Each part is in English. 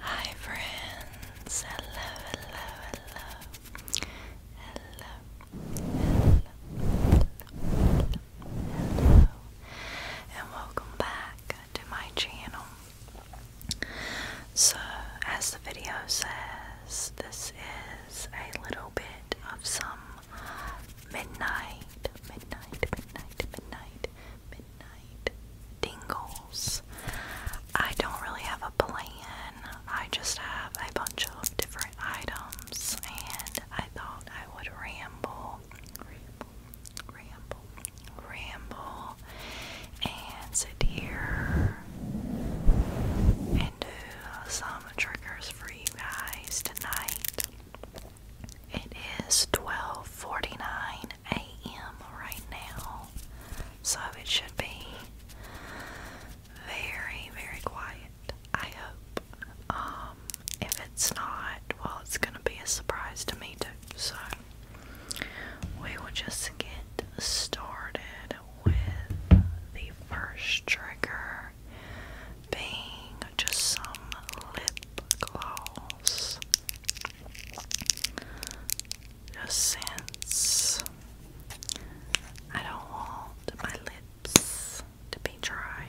Hi friends, hello, hello, hello, hello, hello, Hello, and welcome back to my channel. So, as the video says, this is a little bit of some midnight, midnight, midnight, midnight, midnight dingles. I don't really have a plan, I just have a bunch of different items, and I thought I would ramble ramble, ramble, ramble, and sit here and do some triggers for you guys tonight. It is 12:49 a.m. right now, so it should be very, very quiet. I hope. Um, if it's not, well, it's gonna be a surprise to me too. So, we will just get started with the first trigger being just some lip gloss. Just since I don't want my lips to be dry.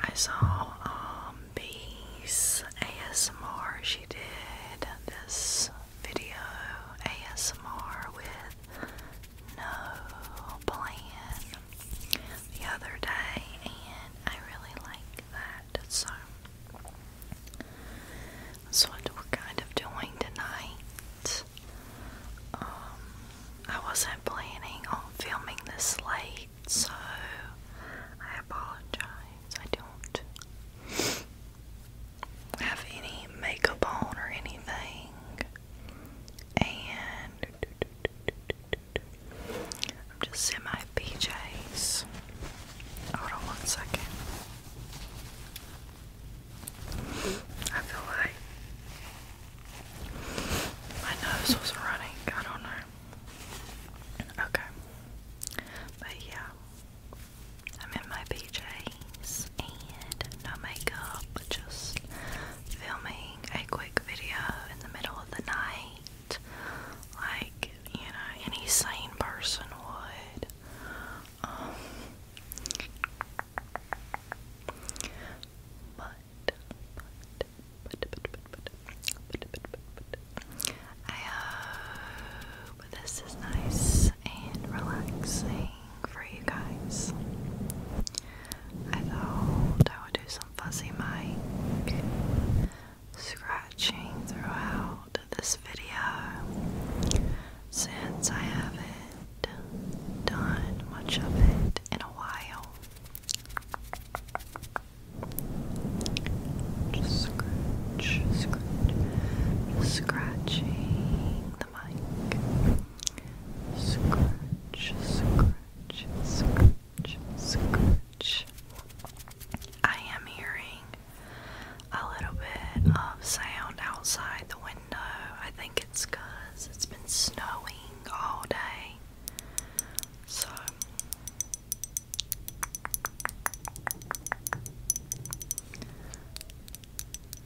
I saw um Bees ASMR. She did this video ASMR with no plan the other day and I really like that. So that's what we're kind of doing tonight. Um, I wasn't planning on filming this late so I apologize. I don't have any makeup on or anything, and I'm just in my PJs. Hold on one second. I feel like my nose was running. I don't know. Okay. But yeah. I'm in my PJs and no makeup, just filming a quick video in the middle of the night. Like, you know, any sane person would. Um, but but but but but I hope uh, this is nice and relaxing for you guys. I thought I would do some fuzzy mic scratching throughout this video since I haven't done much of it in a while scratch, scratch, scratching the mic. Scratch, scratch, scratch, scratch. I am hearing a little bit of sound outside the window. I think it's it's been snowing all day. So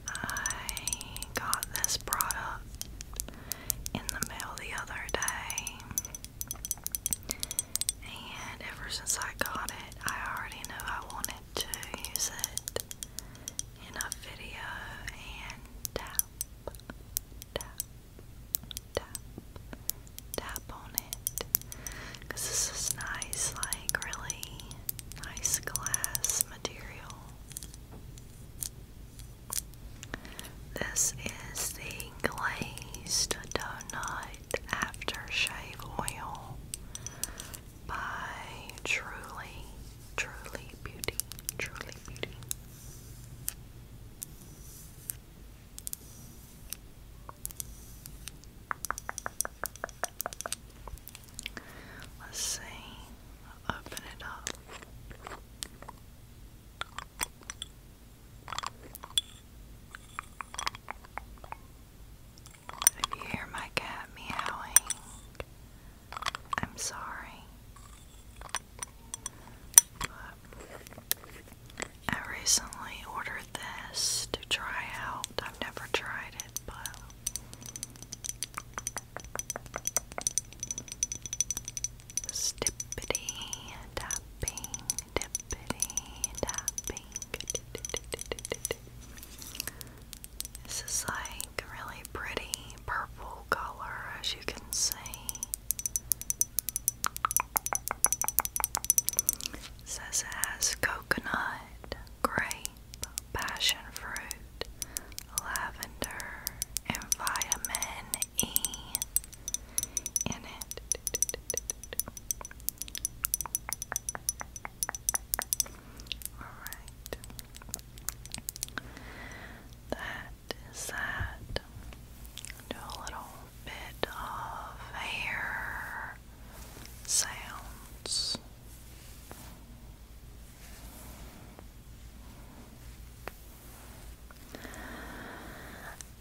I got this product in the mail the other day, and ever since I got it, I already know I wanted to use it in a video tap, tap on it. Because this is nice, like really nice glass material. This is the Glazed Donut Aftershave Oil by Truly, Truly Beauty, Truly Beauty. Let's see. i open it up. If you hear my cat meowing, I'm sorry. I recently ordered this to try out. I've never tried it, but Stippity tapping, tippity tapping. This is like a really pretty purple color, as you can see. Says it has coconut, grape, passion fruit, lavender, and vitamin E in it. Alright. That is that. Do a little bit of hair sounds.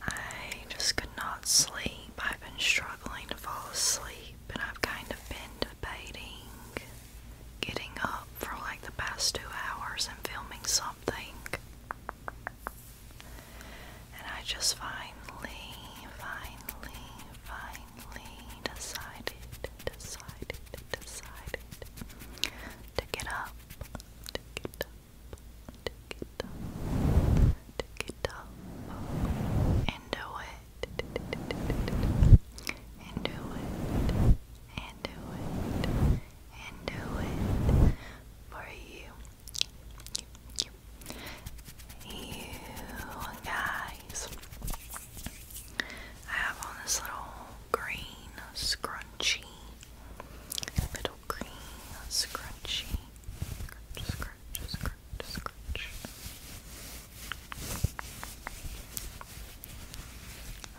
I just could not sleep. I've been struggling to fall asleep, and I've kind of been debating getting up for like the past two hours and filming something. And I just finally, finally, finally decided, decided, decided to get up, to get up, to get up, to get up, and do it, and do it, and do it, and do it for you you, guys. I have on this little green scrunchie. Little green scrunchie. Let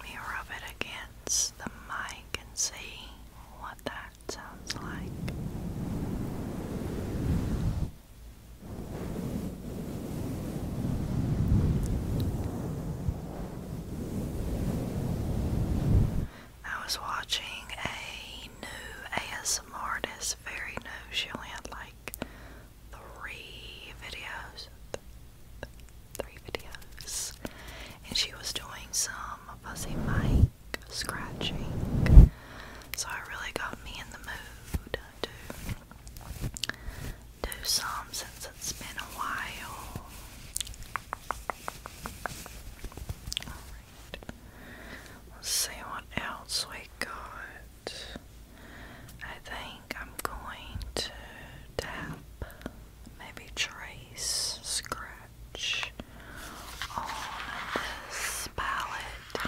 me rub it against the mic and see what that that sounds like. I was watching a new ASMR artist, very new. She only had like three videos, three videos, and she was doing some fuzzy mic scratching. So it really got me in the mood to do some since it's been a while. Alright. Let's see what else we got. I think I'm going to tap, maybe trace, scratch swatch on this palette.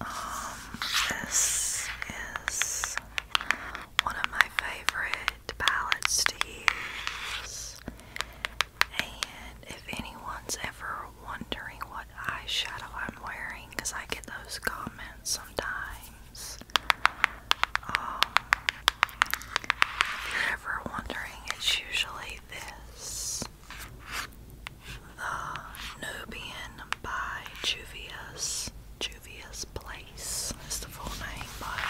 Um, this is one of my favorite palettes to use. And if anyone's ever wondering what eyeshadow I'm wearing, because I get those comments sometimes, um, if you're ever wondering, it's usually this The uh, Nubian by Juvia's. Juvia's Place is the full name, but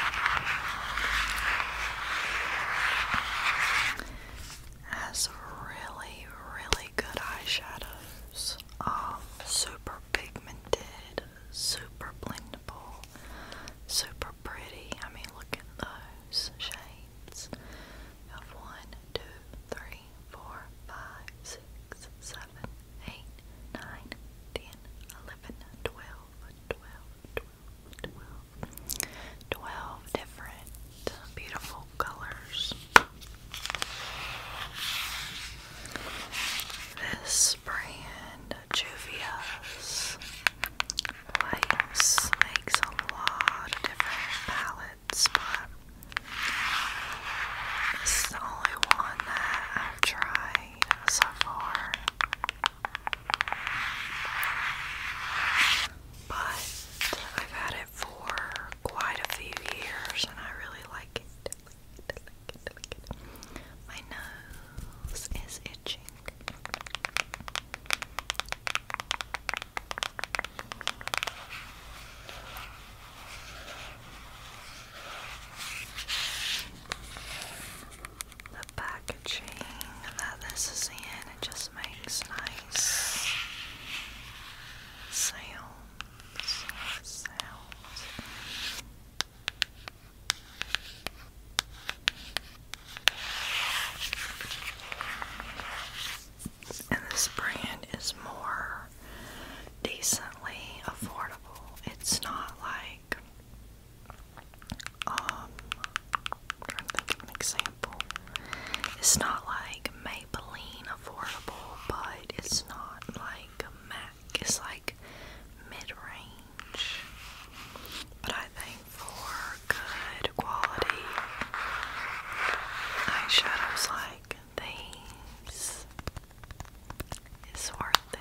has really, really good eyeshadows. Um, super pigmented, super blendable, super pretty. I mean, look at those shades. You one, two, three, four, five, six, seven, eight, nine, ten, eleven, twelve, twelve, twelve, twelve, twelve different beautiful colors. This brand, Juvia's Lights, makes a lot of different palettes, but this is the only one that I've tried so far. But I've had it it for quite a few years and I really like it. Like it, like it, like it. My nose is itching. The packaging that this is in it just makes nice sounds. sounds. And this brand is more decently affordable. It's not like um, trying example. It's not like Maybelline affordable, but it's not like MAC. It's like mid-range. But I think for good quality eyeshadows like these, it's worth it.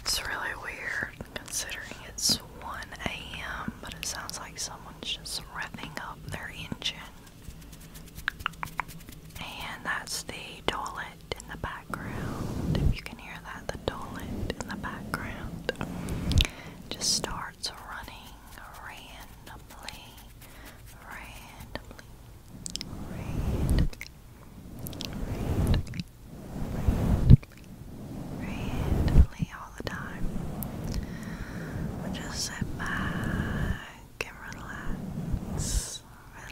It's really weird considering it's 1 a.m., but it sounds like someone's just revving up their engine. And that's the toilet in the background. If you can hear that, the toilet in the background just starts running randomly, randomly, randomly, randomly all the time. just sit back and relax,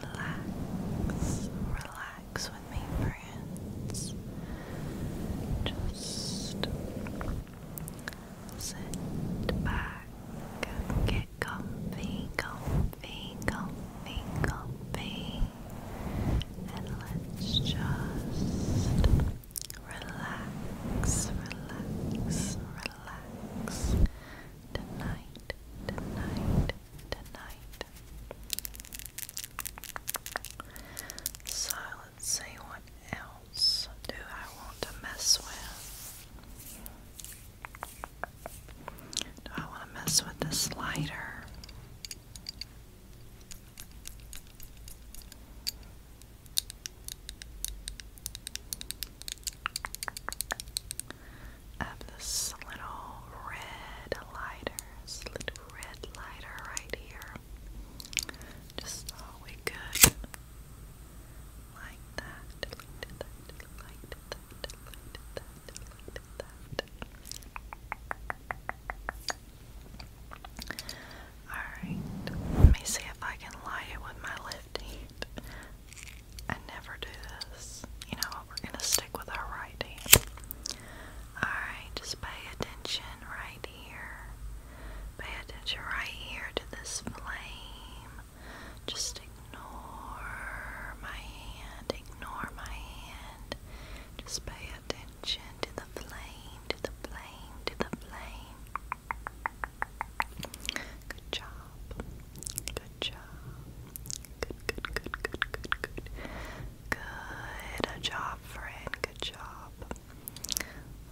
relax, relax with me, friends. Just sit back, get comfy, comfy, comfy, comfy, comfy, and let's just relax, relax, relax tonight, tonight, tonight. So let's see what else do I want to mess with. I want to mess with the slider? Up this little red lighter, this little red lighter right here. Just all we could like that, like that, like that, like that. Alright, let me see if I can light it with my left hand. I never do this. You know We're going to stick with our right hand. Alright, just pay attention right here. Pay attention right here to this flame. Just ignore my hand. Ignore my hand. Just pay attention to the flame, to the flame, to the flame. Good job. Good job. Good, good, good, good, good, good. Good job, friend. Good job.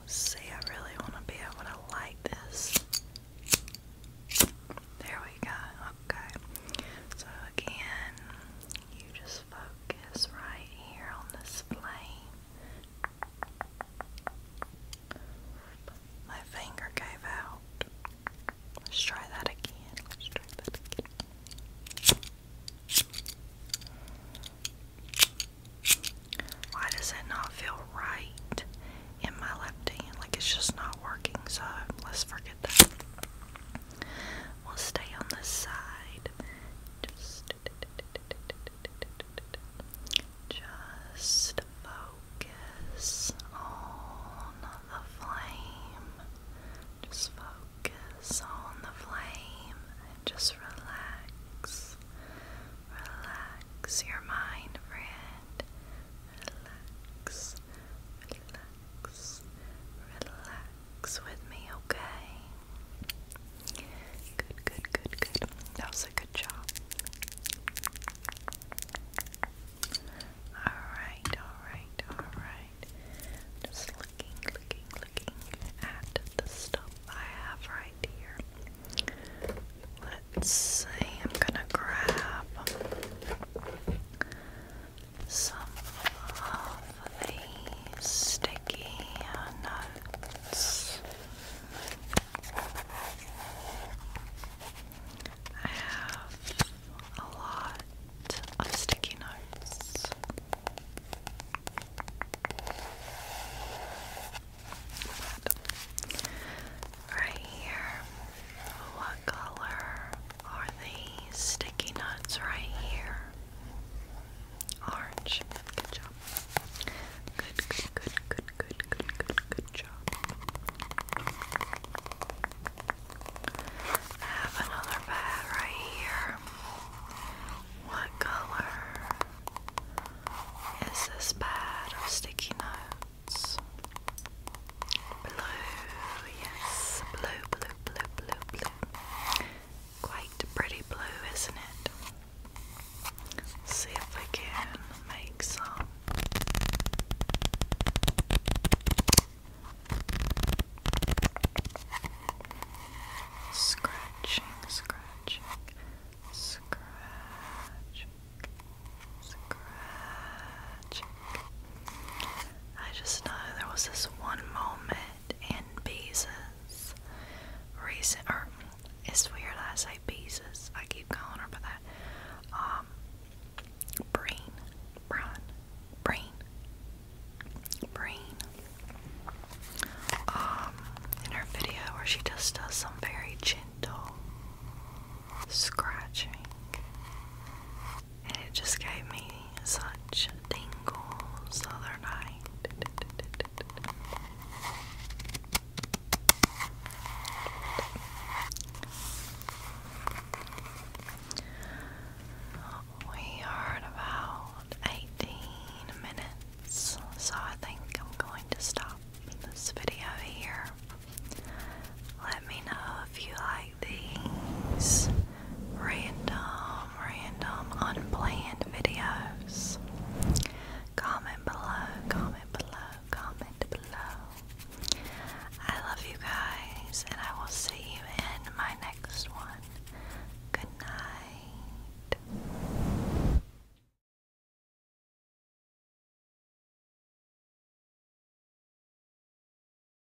Let's see, I really want to be able to light this. There we go. Okay. So again, you just focus right here on this flame. My finger gave out. Let's try that again. Let's try that again. Why does it not feel right in my left hand? Like it's just not working, so let's forget that. We'll stay on the side. Just, just focus on the flame. Just focus on the flame and just relax. Relax your mind, friend. Relax. Relax relax with me, okay? Good, good, good, good. That was a good job. Alright, alright, alright. Just looking, looking, looking at the stuff I have right here. Let's see, I'm gonna grab some of the sticky notes. I have a lot of sticky notes. right here what color are these sticky nuts right here? Orange. Good job. Good, good, good, good, good, good, good, good job. I have another pad right here. What color is this pad of sticky nuts? Blue, yes, blue, blue, blue, blue, blue. Quite pretty blue, isn't it? Let's see if we can make some. Scratching, scratching, scratching, scratching. I just know there was this one moment in Beezus recent or it's weird I say Beezus. I keep calling her by that. Um brain, brain, Breen. Breen. Um in her video where she just does some very gentle scratching and it just gave me such tingles the other night. We are at about 18 minutes, so I think I'm going to stop this video here. Let me know if you like these random, random, unplanned videos. Comment below, comment below, comment below. I love you guys, and I will see you in my next one. Good night.